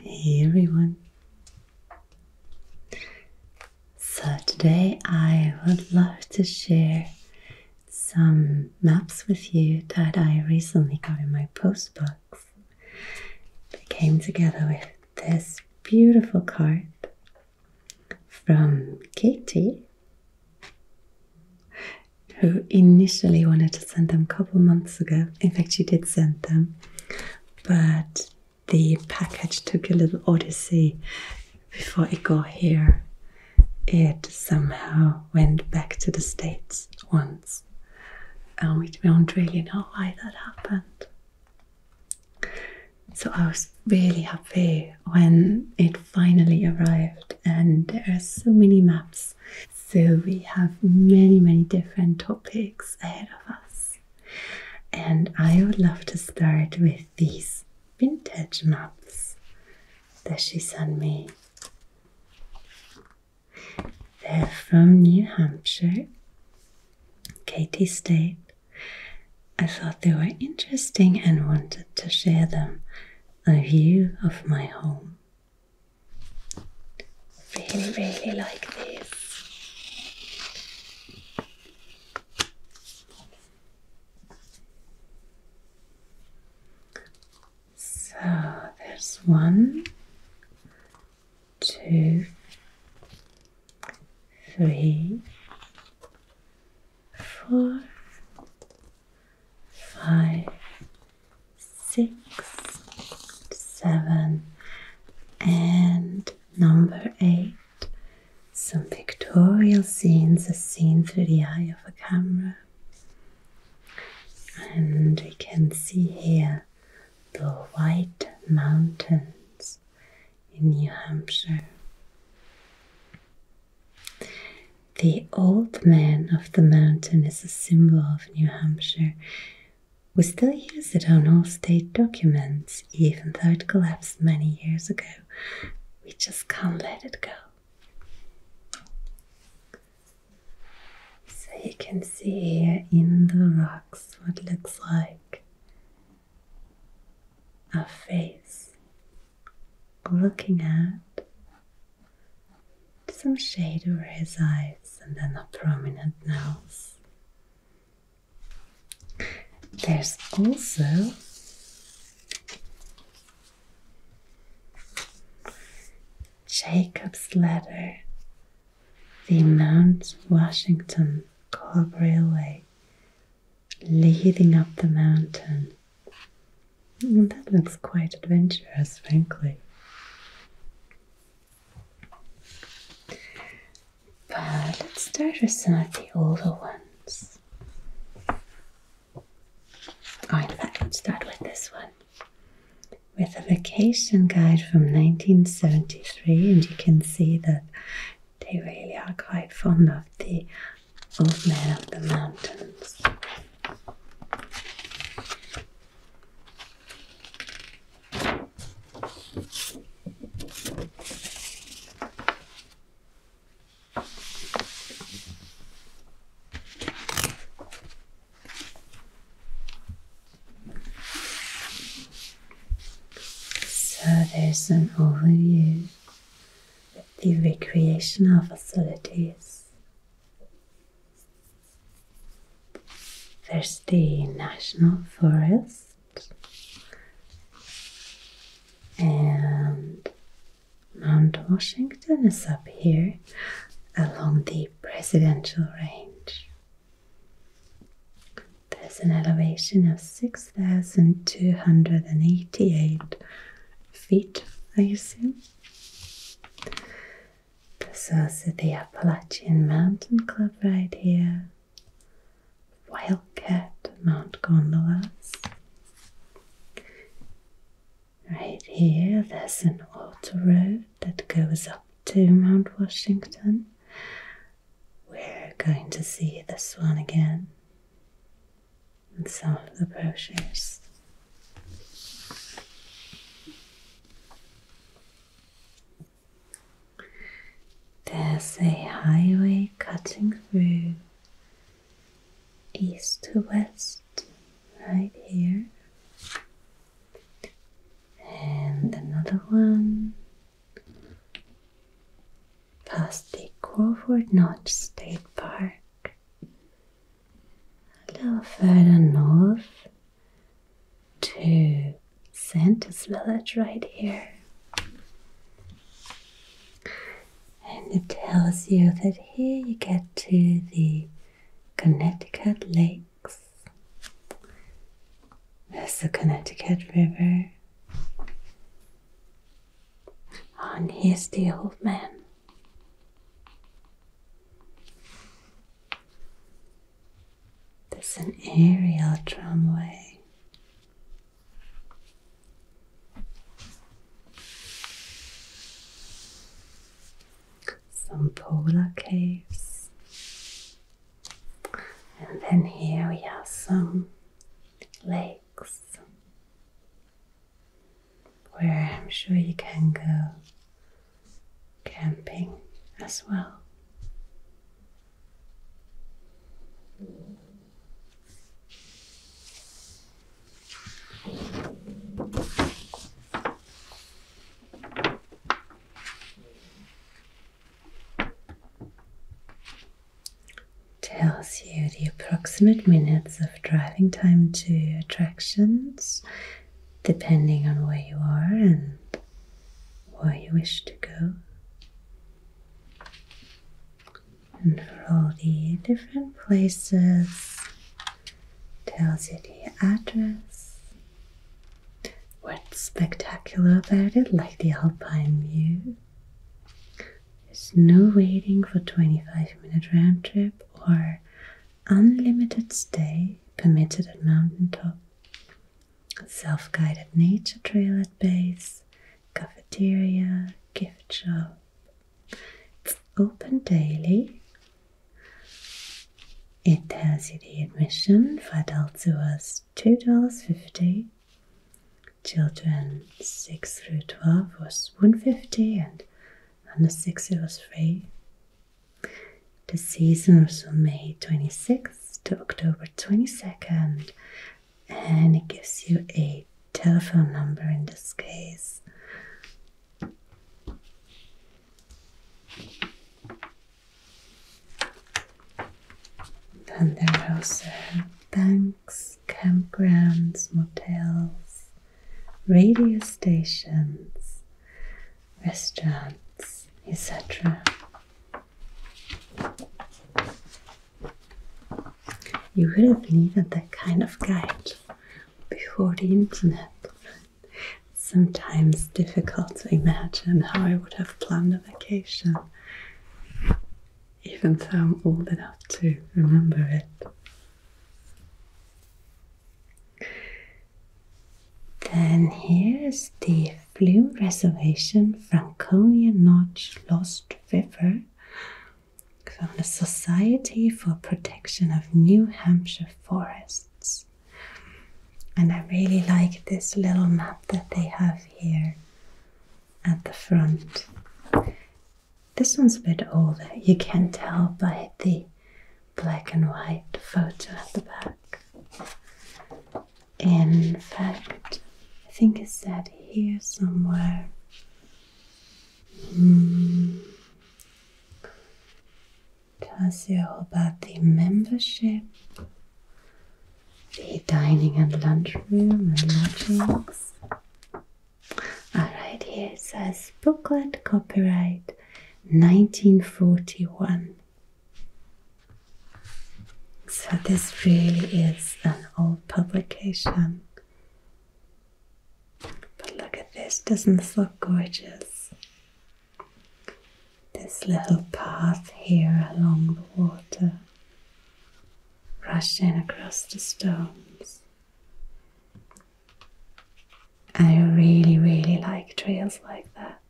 Hey everyone! So, today I would love to share some maps with you that I recently got in my postbox. They came together with this beautiful card from Katie who initially wanted to send them a couple months ago. In fact, she did send them, but the package took a little odyssey before it got here. It somehow went back to the States once, and um, we don't really know why that happened. So I was really happy when it finally arrived, and there are so many maps so we have many, many different topics ahead of us. And I would love to start with these vintage maps that she sent me. They're from New Hampshire, Katy State. I thought they were interesting and wanted to share them. A view of my home. Really, really like this. So there's one, two, three, four, five, six, seven, and number eight. Some pictorial scenes as seen through the eye of a camera. And we can see here the White Mountains in New Hampshire. The old man of the mountain is a symbol of New Hampshire. We still use it on all state documents, even though it collapsed many years ago. We just can't let it go. So you can see here in the rocks what looks like a face looking out some shade over his eyes and then a prominent nose. There's also Jacob's Ladder, the Mount Washington Cobra Railway leading up the mountain that looks quite adventurous, frankly. But let's start with some of the older ones. Oh, in fact, let's start with this one. With a vacation guide from 1973, and you can see that they really are quite fond of the old man of the mountains. So there's an overview of the recreational facilities there's the National Forest and Mount Washington is up here along the Presidential Range. There's an elevation of 6,288 feet, I assume. This is the Appalachian Mountain Club right here. Wildcat Mount Gondolas. Right here, there's an auto road that goes up to Mount Washington. We're going to see this one again and some of the brochures. There's a highway cutting through east to west right here, and another one past the Crawford Notch State Park a little further north to Santa's village right here. And it tells you that here you get to the Connecticut Lakes. There's the Connecticut River. On his here's the man. There's an aerial tramway. Some polar caves. And then here we have some lakes where I'm sure you can go camping as well. Tells you the approximate minutes of driving time to attractions depending on where you are and where you wish to go. And for all the different places, tells you the address. What's spectacular about it, like the alpine view. There's no waiting for 25 minute round trip or unlimited stay permitted at mountaintop, self guided nature trail at base, cafeteria, gift shop. It's open daily. It has you the admission for adults who was $2.50. Children 6 through 12 was 150 and and the 6 it was free. The season was from May 26th to October 22nd, and it gives you a telephone number in this case. and there are also banks, campgrounds, motels, radio stations, restaurants, etc. You wouldn't believe at that kind of guide before the internet. Sometimes difficult to imagine how I would have planned a vacation, even though I'm old enough to remember it. Then here's the Flume Reservation Franconia Notch Lost River from the Society for Protection of New Hampshire Forests. And I really like this little map that they have here at the front. This one's a bit older. You can tell by the black and white photo at the back. In fact, I think it's said here somewhere. Mm. Tells you all about the membership, the dining and lunch room and lodgings, Alright, here it says booklet copyright 1941. So, this really is an old publication. But look at this, doesn't this look gorgeous? This little path here along the water, rushing across the stones. I really, really like trails like that.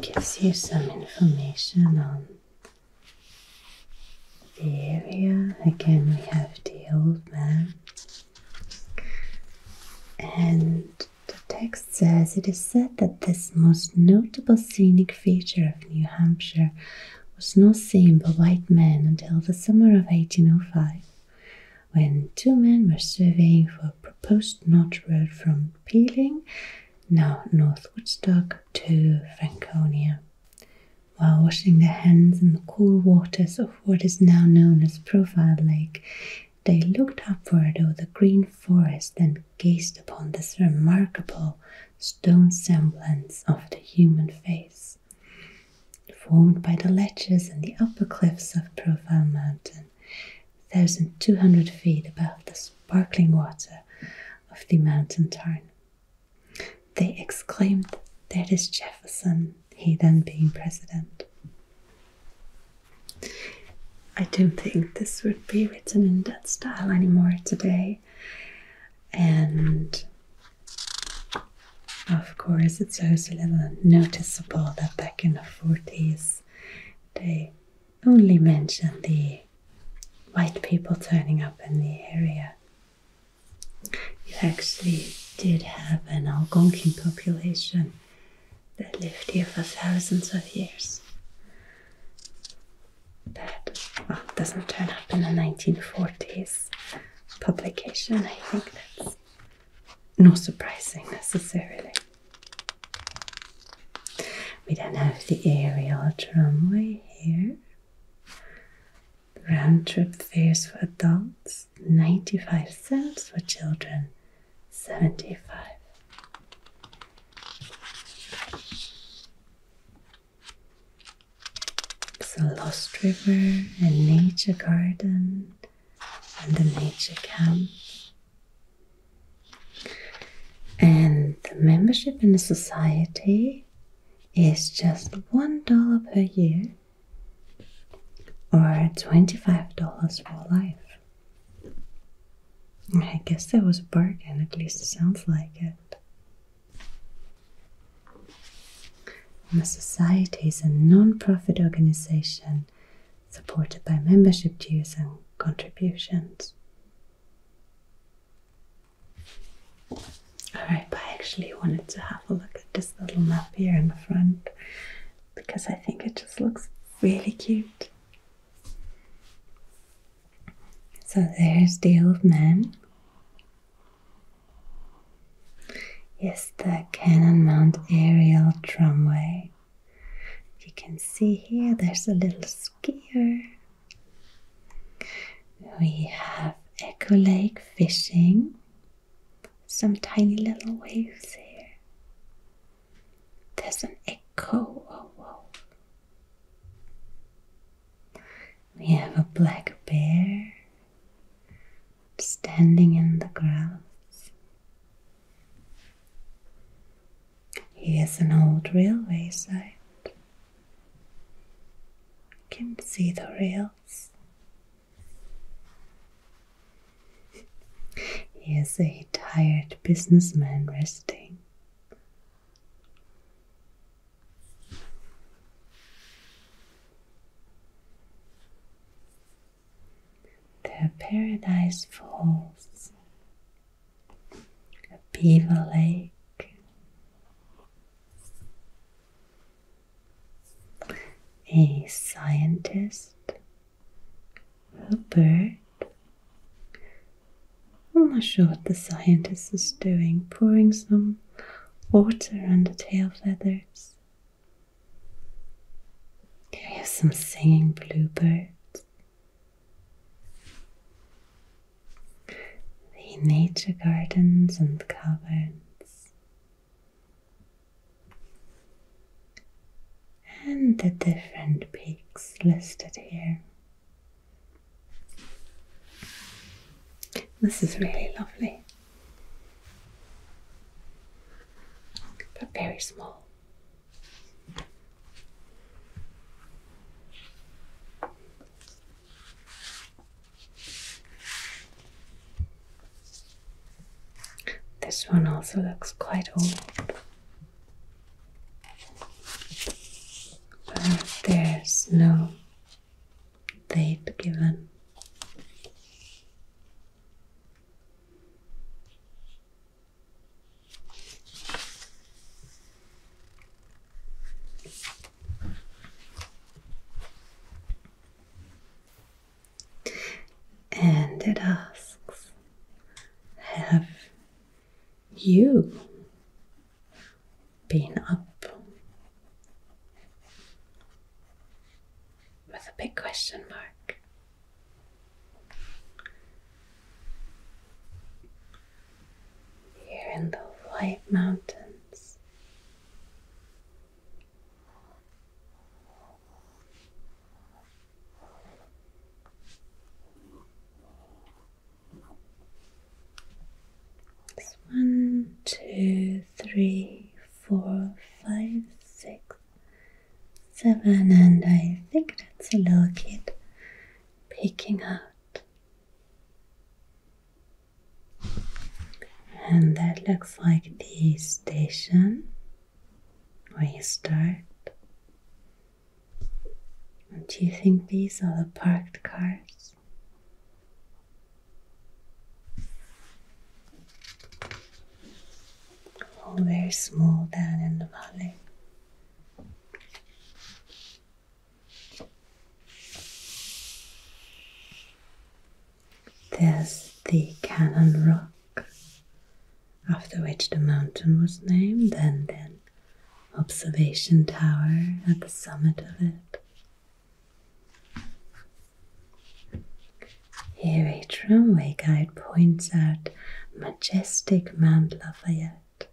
Gives you some information on the area. Again, we have the old man. And the text says it is said that this most notable scenic feature of New Hampshire was not seen by white men until the summer of 1805, when two men were surveying for a proposed north road from Peeling, now North Woodstock, to Franconia. While washing their hands in the cool waters of what is now known as Profile Lake, they looked upward over the green forest and gazed upon this remarkable stone semblance of the human face, formed by the ledges and the upper cliffs of Profile Mountain, 1,200 feet above the sparkling water of the mountain tarn. They exclaimed, That is Jefferson, he then being president. I don't think this would be written in that style anymore today, and of course, it's also a little noticeable that back in the 40s they only mention the white people turning up in the area. You actually did have an Algonquin population that lived here for thousands of years. That well, doesn't turn up in the 1940s publication. I think that's not surprising necessarily. We then have the aerial tramway here. Round trip fares for adults. 95 cents for children 75 so lost river and nature garden and the nature camp and the membership in the society is just one dollar per year or $25 for life. I guess that was a bargain, at least it sounds like it. The Society is a non profit organization supported by membership dues and contributions. Alright, I actually wanted to have a look at this little map here in the front because I think it just looks really cute. So there's the old man. Yes, the Cannon Cannonmount aerial tramway. You can see here there's a little skier. We have Echo Lake fishing some tiny little waves here. There's an echo. Oh, whoa. We have a black bear standing in the grass. Here's an old railway site. You can see the rails he is a tired businessman resting. The Paradise Falls, a beaver lake, a scientist, a bird. I'm not sure what the scientist is doing, pouring some water on the tail feathers. Here we have some singing bluebirds. The nature gardens and caverns and the different peaks listed here. This is really lovely, but very small. This one also looks quite old. But there's no date given. And it asks, Have you been up? With a big question mark. Here in the White Mountains one, two, three, four, five, six, seven, and I think that's a little kid picking out. And that looks like the station where you start. And do you think these are the parked cars? All oh, very small down in the valley. There's the Cannon Rock, after which the mountain was named, and then observation tower at the summit of it. Here a tramway guide points out majestic Mount Lafayette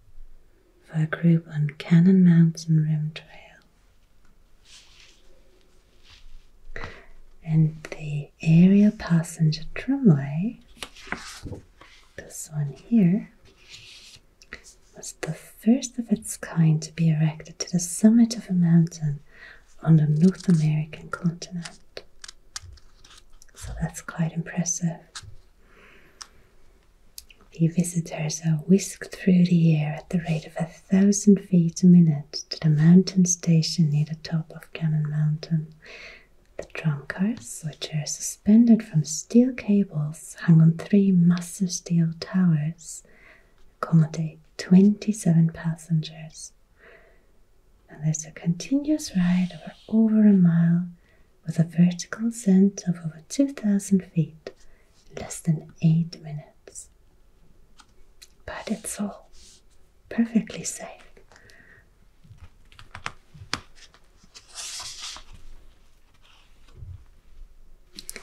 for a group on Cannon Mountain Rim Trail and the area passenger tramway, this one here, was the first of its kind to be erected to the summit of a mountain on the North American continent. So that's quite impressive. The visitors are whisked through the air at the rate of a thousand feet a minute to the mountain station near the top of Cannon Mountain. The tram cars, which are suspended from steel cables hung on three massive steel towers, accommodate 27 passengers. And there's a continuous ride of over a mile with a vertical ascent of over 2,000 feet in less than 8 minutes. But it's all perfectly safe.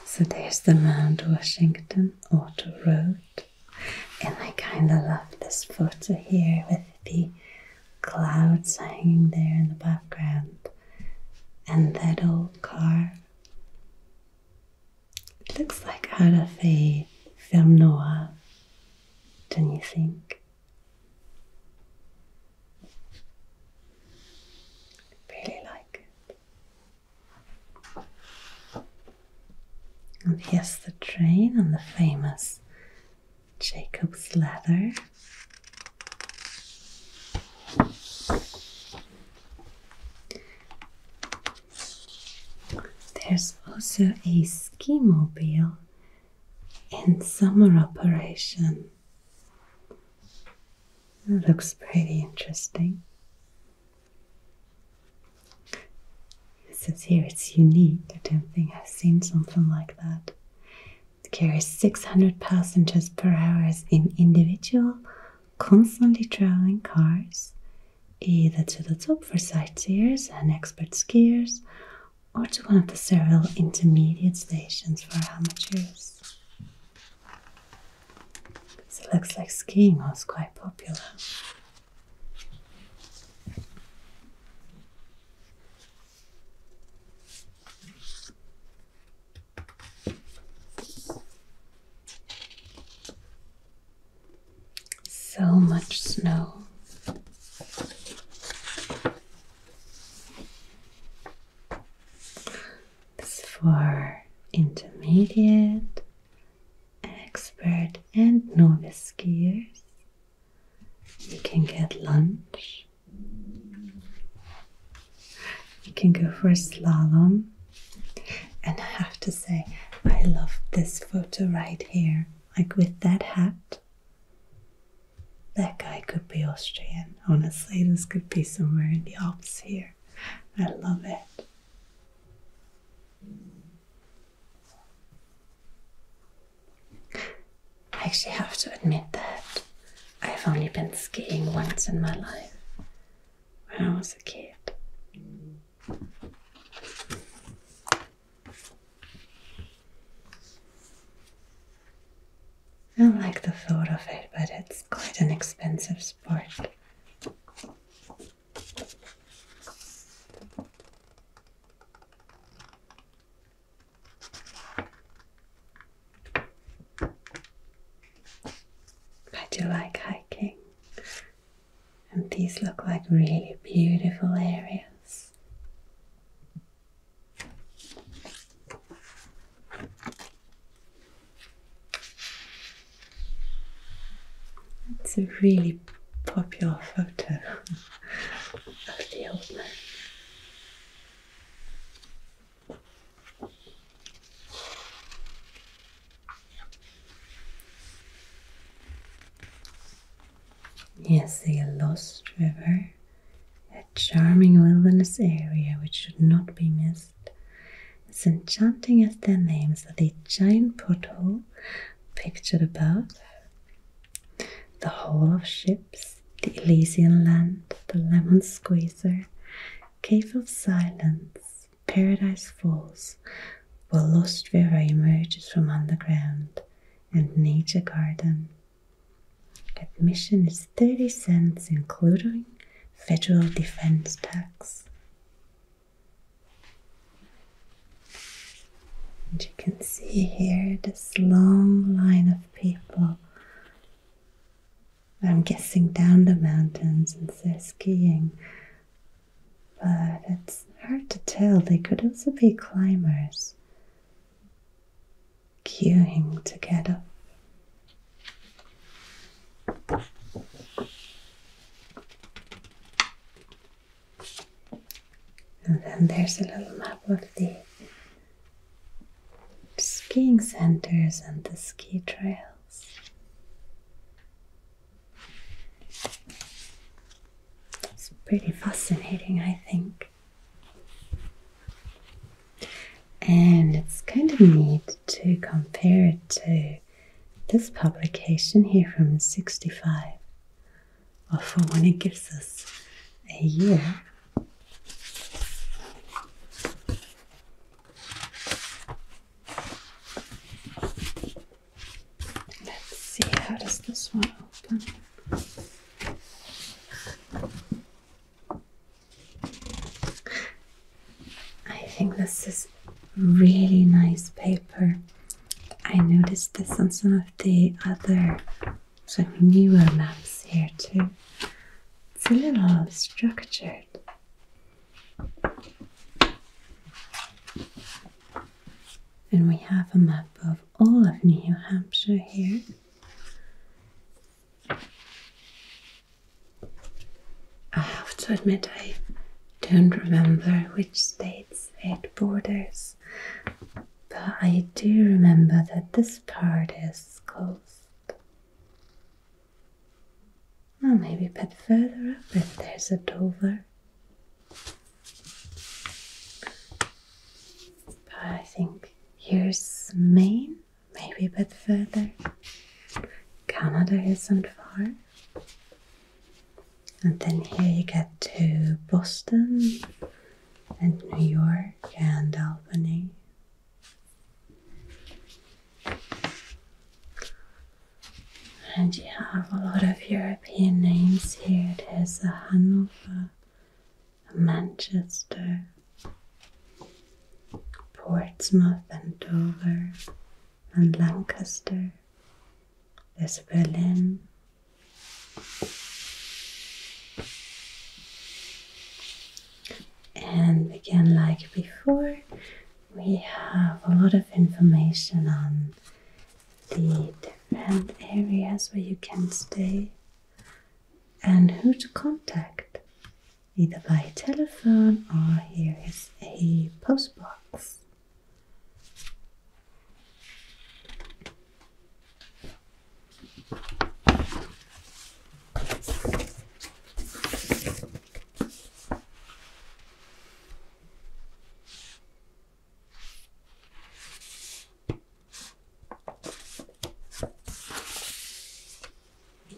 So there's the Mount Washington Auto Road, and I kind of love this photo here with the clouds hanging there in the background and that old car. It looks like out of a film noir, don't you think? really like it. And here's the train and the famous Jacob's Ladder. There's also a ski mobile in summer operation. That looks pretty interesting. It says here it's unique. I don't think I've seen something like that. It carries 600 passengers per hour in individual, constantly traveling cars either to the top for sightseers and expert skiers or to one of the several intermediate stations for amateurs. So it looks like skiing was quite popular. So much snow. This for intermediate, expert, and novice skiers. You can get lunch. You can go for slalom and I have to say, I love this photo right here. Like with that hat, that guy could be Austrian. Honestly, this could be somewhere in the Alps here. I love it. I actually have to admit that I've only been skiing once in my life when I was a kid. I don't like the thought of it, but it's quite an expensive sport. I do like hiking and these look like really beautiful areas. It's a really popular photo of the old man. Yes, the Lost River, a charming wilderness area which should not be missed. As enchanting as their names are the giant pothole pictured above, the Hall of Ships, the Elysian Land, the Lemon Squeezer, Cave of Silence, Paradise Falls, where Lost River emerges from underground, and Nature Garden. Admission is 30 cents, including federal defense tax. And you can see here this long line of people. I'm guessing down the mountains and they're skiing but it's hard to tell. They could also be climbers queuing to get up. And then there's a little map of the skiing centers and the ski trails. It's pretty fascinating, I think. And it's kind of neat to compare it to this publication here from 65 or for when it gives us a year. Let's see how does this one open. I think this is really nice paper. I noticed this on some of the other some newer maps here too. It's a little structured. And we have a map of all of New Hampshire here. I have to admit, I don't remember which states it borders, but I do remember that this part is closed. Well, maybe a bit further up if there's a Dover. I think here's Maine, maybe a bit further. Canada isn't far. And then here you get to Boston and New York and Albany. And you have a lot of European names here. There's uh, Hanover, Manchester, Portsmouth, and Dover, and Lancaster. There's Berlin. And again, like before, we have a lot of information on the different areas where you can stay and who to contact, either by telephone or here is a postbox.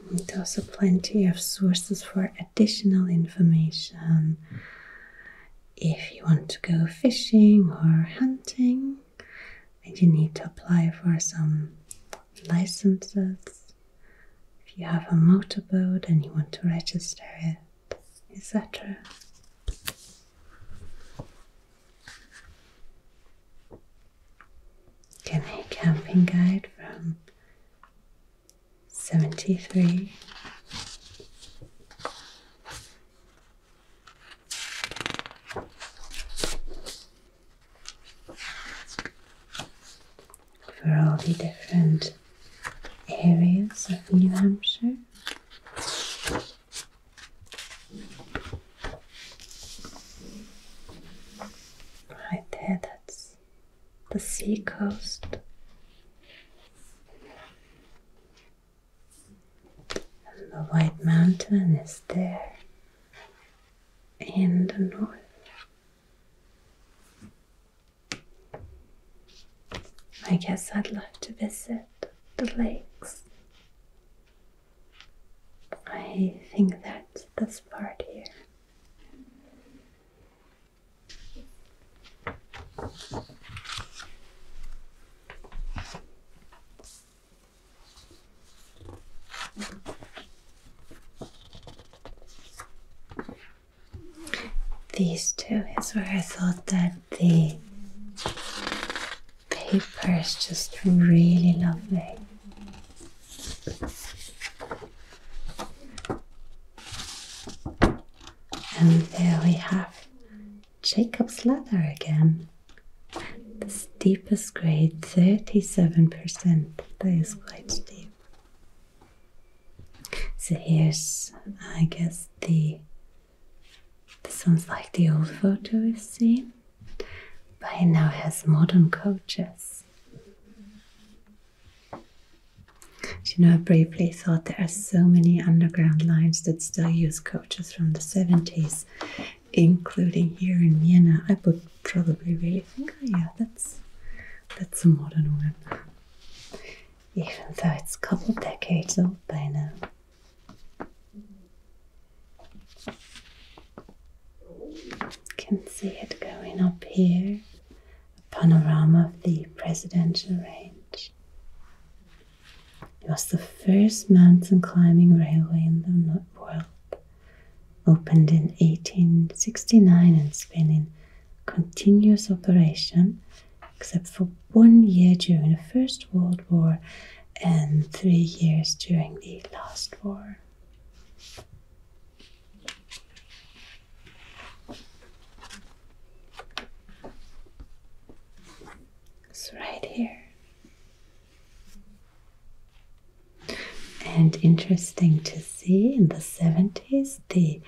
And also plenty of sources for additional information if you want to go fishing or hunting and you need to apply for some licenses if you have a motorboat and you want to register it etc. Can a camping guide from 73 for all the different areas of New Hampshire. Right there, that's the sea coast. And the White Mountain is there in the north. I guess I'd love to visit the lakes. I think that's this part here. These two is where I thought that the paper is just really lovely. And there we have Jacob's Ladder again. The steepest grade, 37%. That is quite steep. So here's, I guess, the this sounds like the old photo we've seen, but it now has modern coaches. You know, I briefly thought there are so many underground lines that still use coaches from the 70s, including here in Vienna. I would probably really think, oh yeah, that's that's a modern one even though it's a couple decades old by now. Can see it going up here, a panorama of the presidential range. It was the first mountain climbing railway in the world, opened in 1869 and spanned continuous operation except for one year during the First World War and three years during the last war. It's right here. And interesting to see in the 70s, the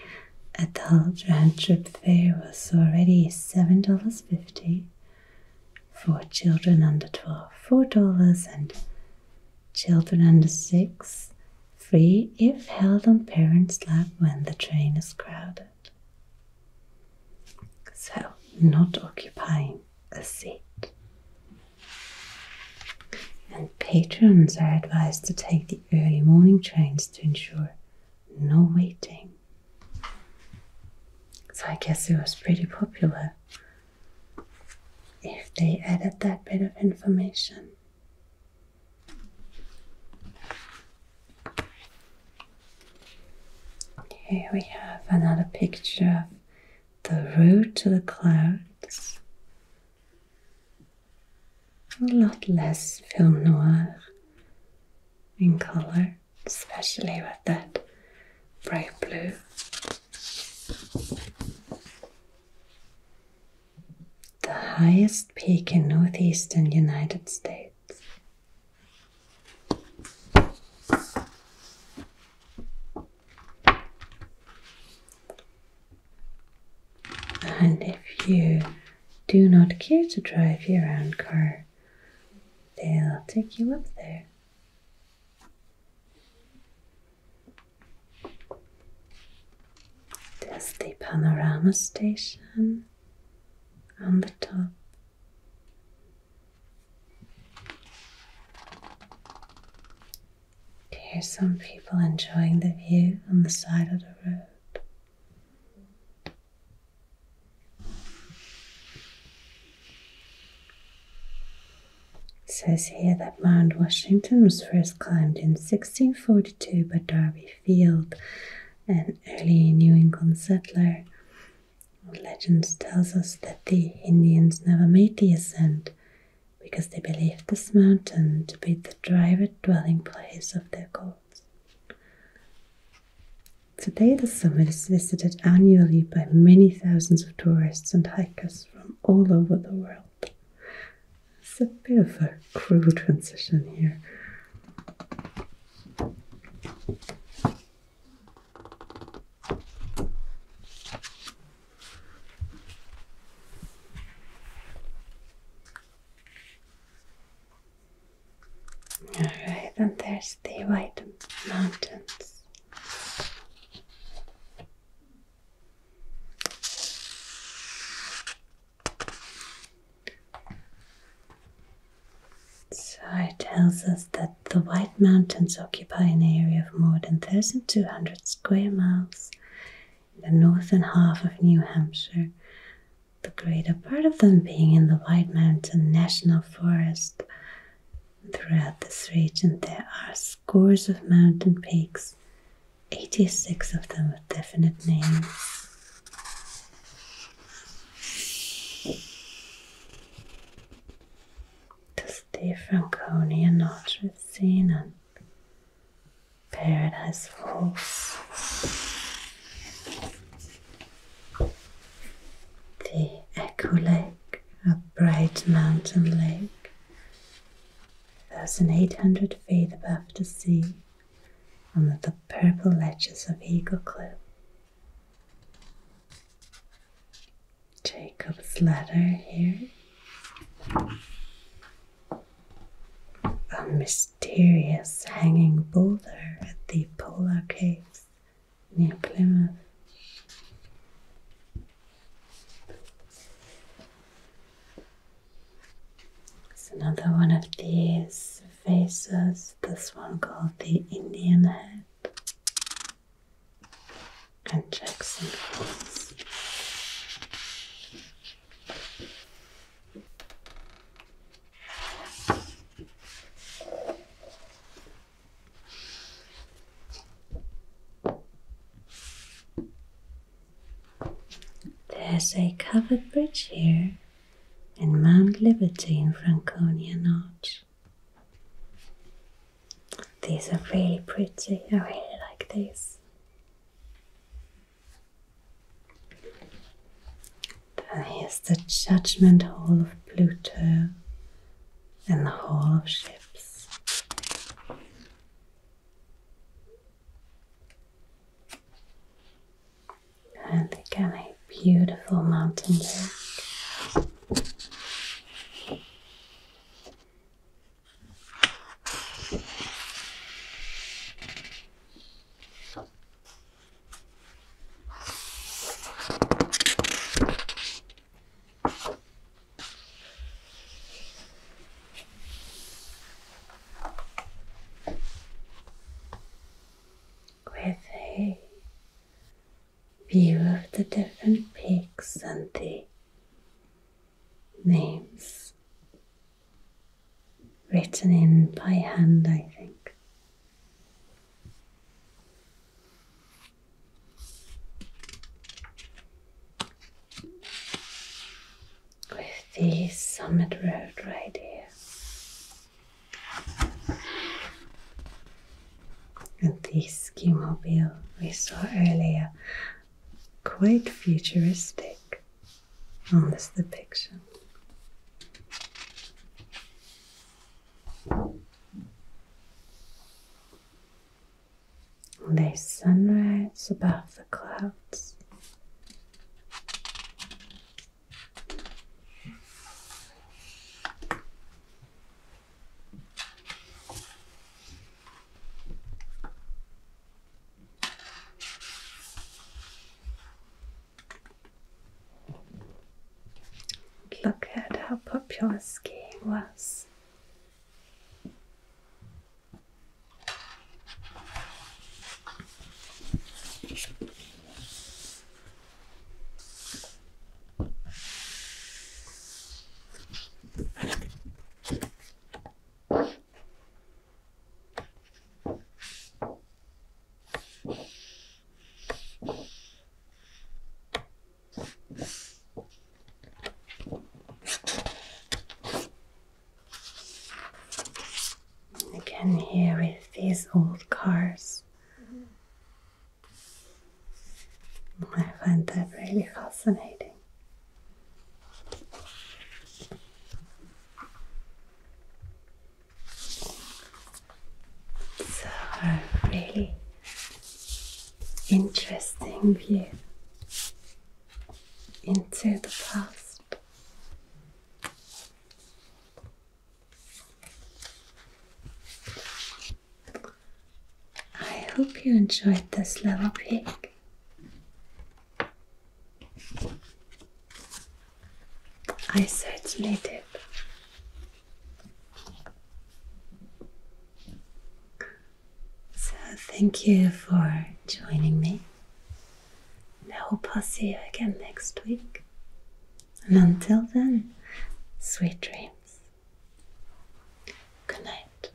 adult round trip fare was already $7.50 for children under 12, $4, and children under 6 free if held on parents' lap when the train is crowded. So, not occupying a seat. And patrons are advised to take the early morning trains to ensure no waiting. So I guess it was pretty popular if they added that bit of information. Here we have another picture of the road to the clouds a lot less film noir in color, especially with that bright blue. The highest peak in northeastern United States. And if you do not care to drive your own car, they'll take you up there. There's the panorama station on the top. There's some people enjoying the view on the side of the road. It says here that Mount Washington was first climbed in 1642 by Darby Field, an early New England settler. Legend tells us that the Indians never made the ascent because they believed this mountain to be the private dwelling place of their gods. Today, the summit is visited annually by many thousands of tourists and hikers from all over the world. It's a bit of a cruel transition here. Alright, and there's the White Mountains. So it tells us that the White Mountains occupy an area of more than 1,200 square miles the northern half of New Hampshire, the greater part of them being in the White Mountain National Forest. Throughout this region, there are scores of mountain peaks, 86 of them with definite names. The Franconia North Sea and Paradise Falls. The Echo Lake, a bright mountain lake, 1,800 feet above the sea, under the purple ledges of Eagle Cliff. Jacob's Ladder here a mysterious hanging boulder at the Polar Caves near Plymouth. It's another one of these faces, this one called the Indian Head and Jackson Falls. There's a covered bridge here in Mount Liberty in Franconia Notch. These are really pretty, I really like these. And here's the judgment hall of Pluto and the hall of ships. And again, a beautiful mountain lake. With a view of the different peaks and the names written in by hand, I think. With the summit road right here. And the ski mobile we saw earlier, quite futuristic on this depiction. There's sunrise above the clouds. Look at how popular skiing was. Again, here with these old cars. I find that really fascinating. So, a really interesting view into the past. I hope you enjoyed this little peek. I certainly did. So, thank you for joining me. And I hope I'll see you again next week. And until then, sweet dreams. Good night.